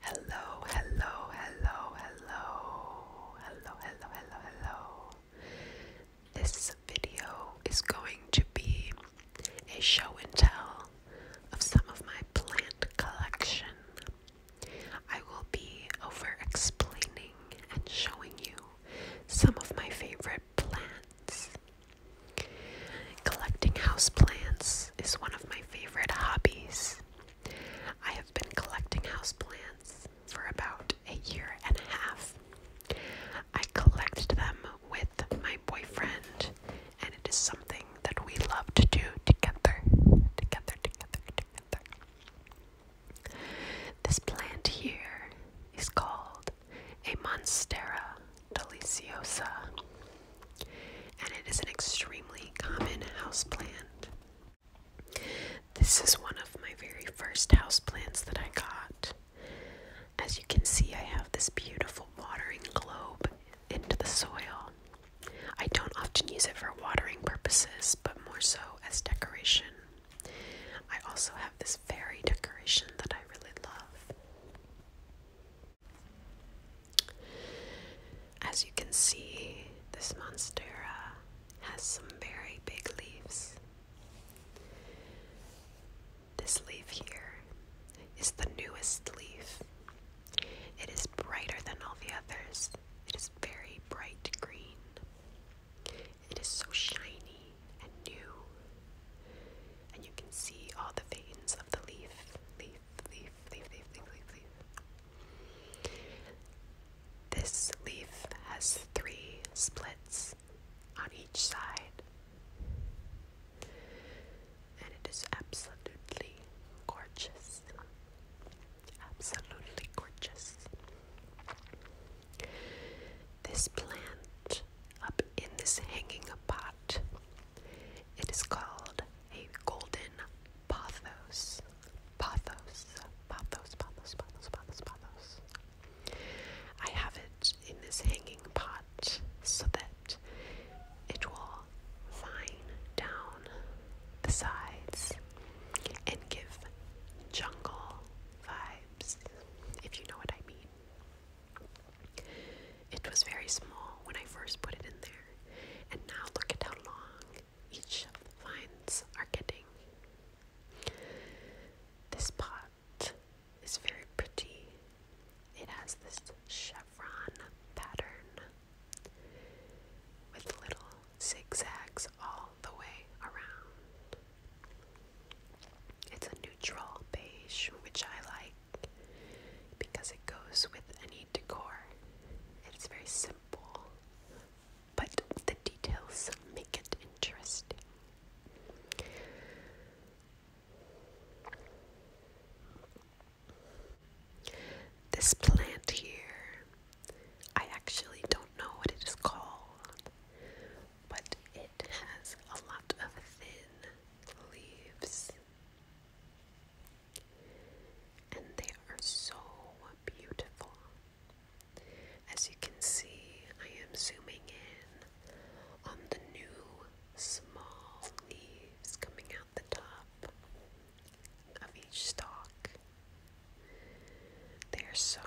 Hello, hello, hello, hello, hello, hello, hello, hello. This video is going to be a show and tell of some of my plant collection. I will be over explaining and showing you some of my favorite plants. Collecting house plants is one of my favorite hobbies. I have been collecting houseplants for about a year and a half. I collect them with my boyfriend, and it is something that we love to do together. Together, together, together. This plant here is called a Monstera deliciosa and it is an extremely common house plant. This is one of my very first house plants that I got. As you can see, I have this beautiful watering globe into the soil. I don't often use it for watering purposes, but more so as decoration. I also have this fairy decoration that I really love. As you can see, this monstera has some very big leaves. This leaf here is the newest leaf. It is brighter than all the others. It is very bright green. It is so shiny and new. And you can see all the veins of the leaf. Leaf leaf, leaf, leaf, leaf, leaf, leaf. This leaf has three splits on each side, and it is absolutely gorgeous. Absolutely gorgeous. This plant up in this hanging pot it is called a golden pothos. Pothos. Pothos, pothos, pothos, pothos, pothos. I have it in this hanging pot so that it will fine down the sides and give jungle vibes, if you know what I mean. It was very small when I first put it in there, and now look at how long each of the vines are getting. This pot is very pretty. It has this chevron pattern with little zigzags all the way around. It's a neutral beige, which I like because it goes with any decor. It's very simple, but the details make it interesting. This plant here, I actually don't know what it is called, but it has a lot of thin leaves and they are so beautiful. As you can see, I am zooming in on the new small leaves coming out the top of each stalk. They are so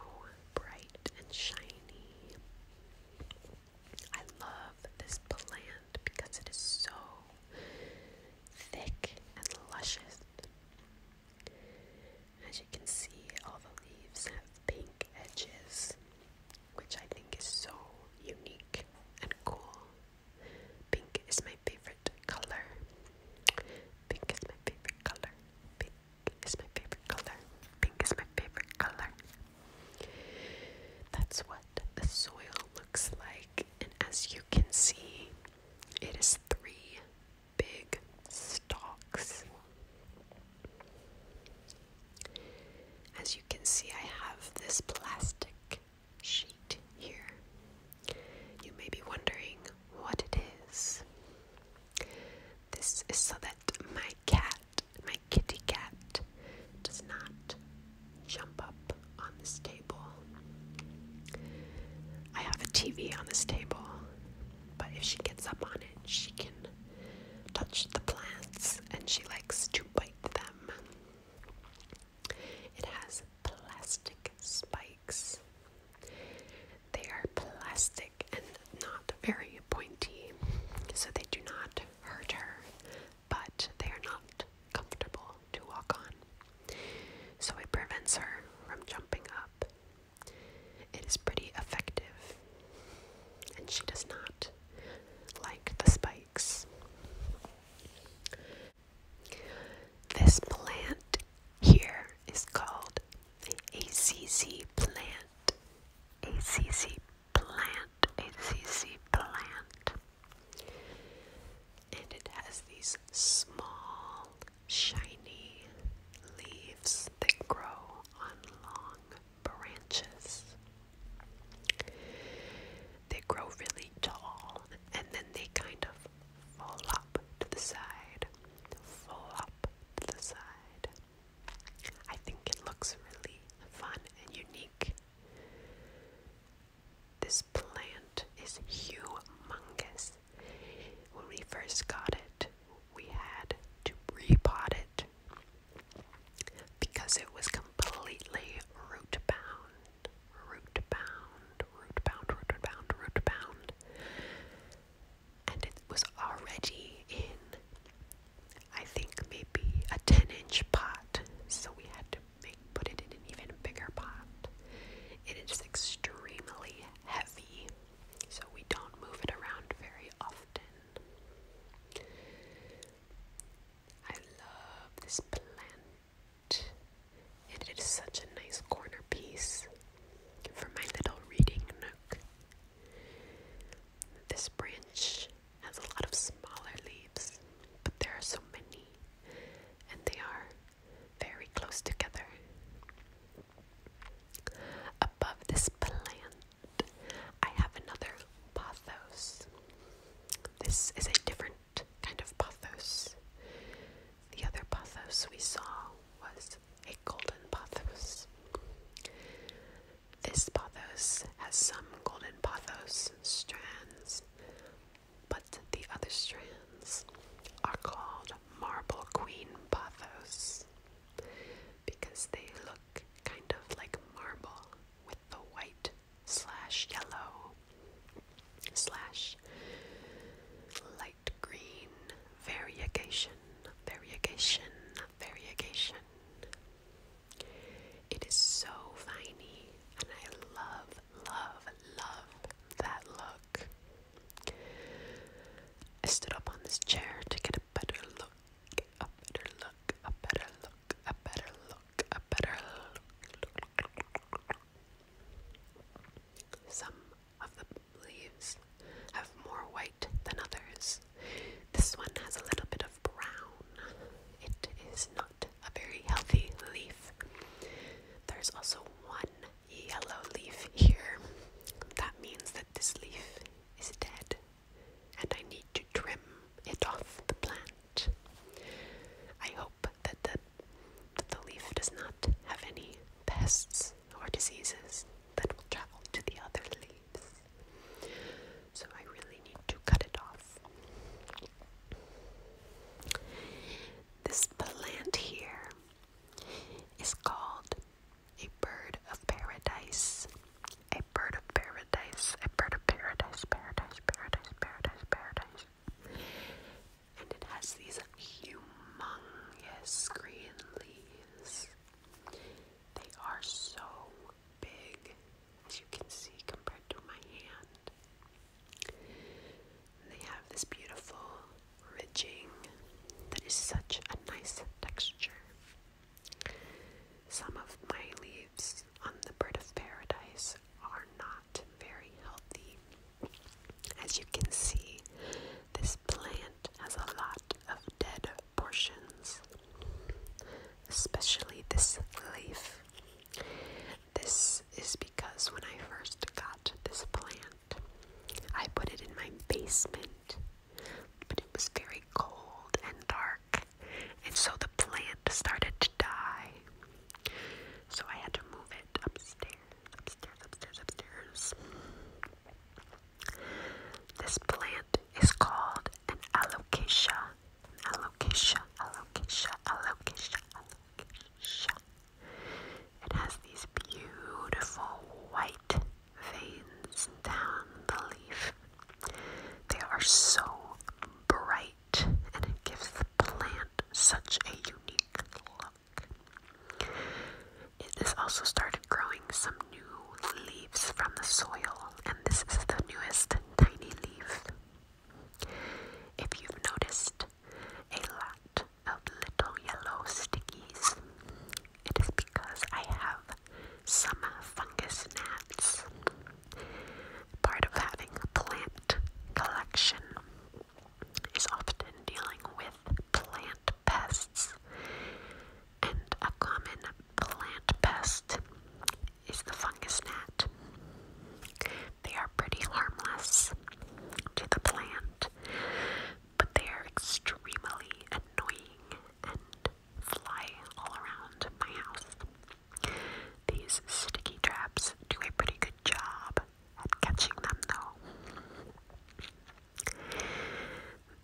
bright and shiny. I love this plant because it is so thick and luscious. As you can see, all the leaves have pink edges, which I think is so unique and cool. Pink is my favorite color. Pink is my favorite color. Pink is my favorite color. Pink is my favorite color. That's what the soil looks like and as you can see, it is three big stalks. As you can see, I have this plastic sheet here. You may be wondering what it is. This is so that my cat, my kitty cat, does not jump up on this table. I have a TV on this table, but if she gets up on it, she can touch the plants and she likes to bite them. It has plastic spikes. They are plastic and not very pointy, so they do not hurt her but they are not comfortable to walk on. So it prevents her from jumping up. It is pretty effective, and she does not like the spikes. This plant here is called the ACC plant. ACC plant. ACC plant. And it has these small, shiny leaves that grow on long branches. They grow really tall and then they kind of fall up to the side, fall up to the side. I think it looks really fun and unique. This plant is humongous. When we first got it, we had to repot it because it was completely root bound. Root bound, root bound, root bound, root bound. And it was already in, I think, maybe a 10 inch pot. So we had to make put it in an even bigger pot. It is extremely heavy, so we don't move it around very often. I love this plant. it is such a nice corner piece for my little reading nook. This branch has a lot of smaller leaves, but there are so many and they are very close together. Above this plant, I have another pothos. This is a different kind of pothos. The other pothos we saw was a golden pothos. This pothos has some golden pothos strands, but the other strands are called Marble Queen Pathos because they look kind of like marble with the white slash yellow slash light green variegation, variegation, variegation. It is so viney, and I love love, love that look. I stood up on this chair to get a better look, a better look, a better look, a better look, a better look. Some of the leaves have more white than others. This one has a little bit of brown. It is not a very healthy leaf. There's also one yellow leaf here. That means that this leaf is dead and I need to trim it off the plant. I hope that the, that the leaf does not have any pests or diseases that will travel to the other leaves. So I really need to cut it off. This plant here is called a bird of paradise. A bird of paradise. A bird of paradise. Paradise. Paradise. Paradise. Paradise. And it has these humongous green leaves. They are so big, as you can see, compared to my hand. They have this beautiful ridging that is such a nice texture. Some of my leaves on the bird of paradise are not very healthy. As you can see, this plant has a lot of dead portions, especially this leaf. This is because when I first got this plant, I put it in my basement, but it was very cold and dark, and so the plant started to die. So I had to move it upstairs, upstairs, upstairs, upstairs. This plant is called an alocasia, alocasia, alocasia, alocasia, it has these beautiful white veins down the leaf. They are so bright and it gives the plant such a unique look. It has also started growing some new leaves from the soil, and this is the newest tiny leaf. If you've noticed a lot of little yellow stickies, it is because I have some fungus gnats. Part of having a plant collection is often dealing with plant pests, and a common plant pest is the fungus gnat. They are pretty harmless to the plant, but they are extremely annoying and fly all around my house. These sticky traps do a pretty good job at catching them, though.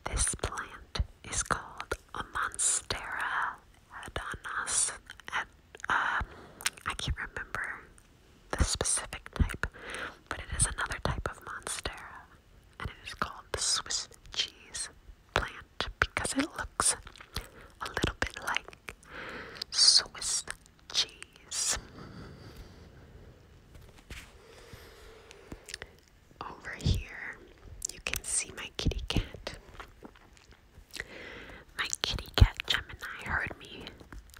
This plant is called a Monstera adonis um, I can't remember the specific type, but it is another type of monstera, and it is called the Swiss cheese plant because it looks a little bit like Swiss cheese. Over here, you can see my kitty cat. My kitty cat Gemini heard me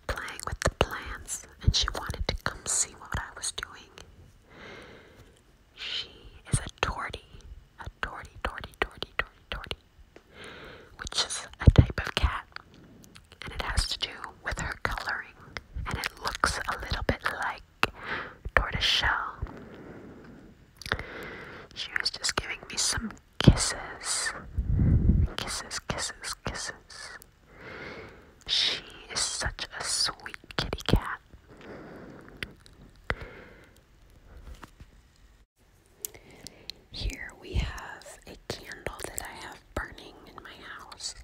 playing with the plants and she wanted to come see what I was doing. She is a tortie, a tortie, tortie, tortie, tortie, which is a type of cat and it has to do with her coloring and it looks a little bit like tortoiseshell. She was just giving me some kisses, kisses, kisses, kisses. She is such a sweet kitty cat. Here we have a candle that I have burning in my house.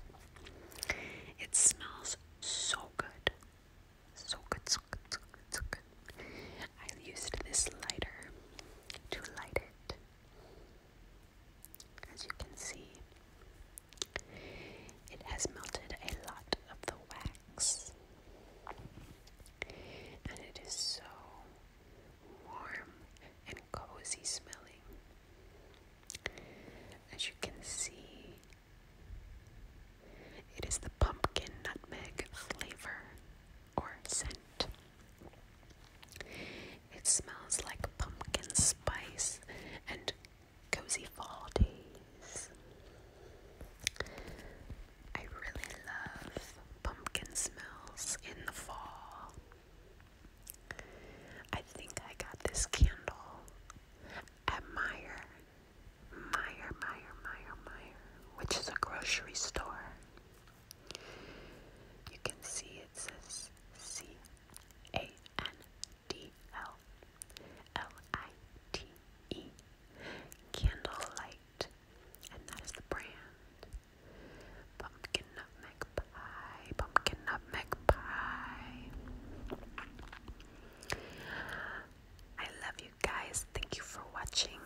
It smells so good. So good, so good, so good, I used this lighter to light it. As you can see, it has melted a lot of the wax, and it is so warm and cozy smelling. As you can see, it is the pumpkin nutmeg flavor or scent. It smells like pumpkin spice and cozy fall days. I really love pumpkin smells in the fall. I think I got this candle at Meyer, Meyer, Meyer, Meyer, Meyer, which is a grocery store. You can see it says C A N D L L I T E Candlelight, and that is the brand. Pumpkin nutmeg pie, pumpkin nutmeg pie. I love you guys. Thank you for watching.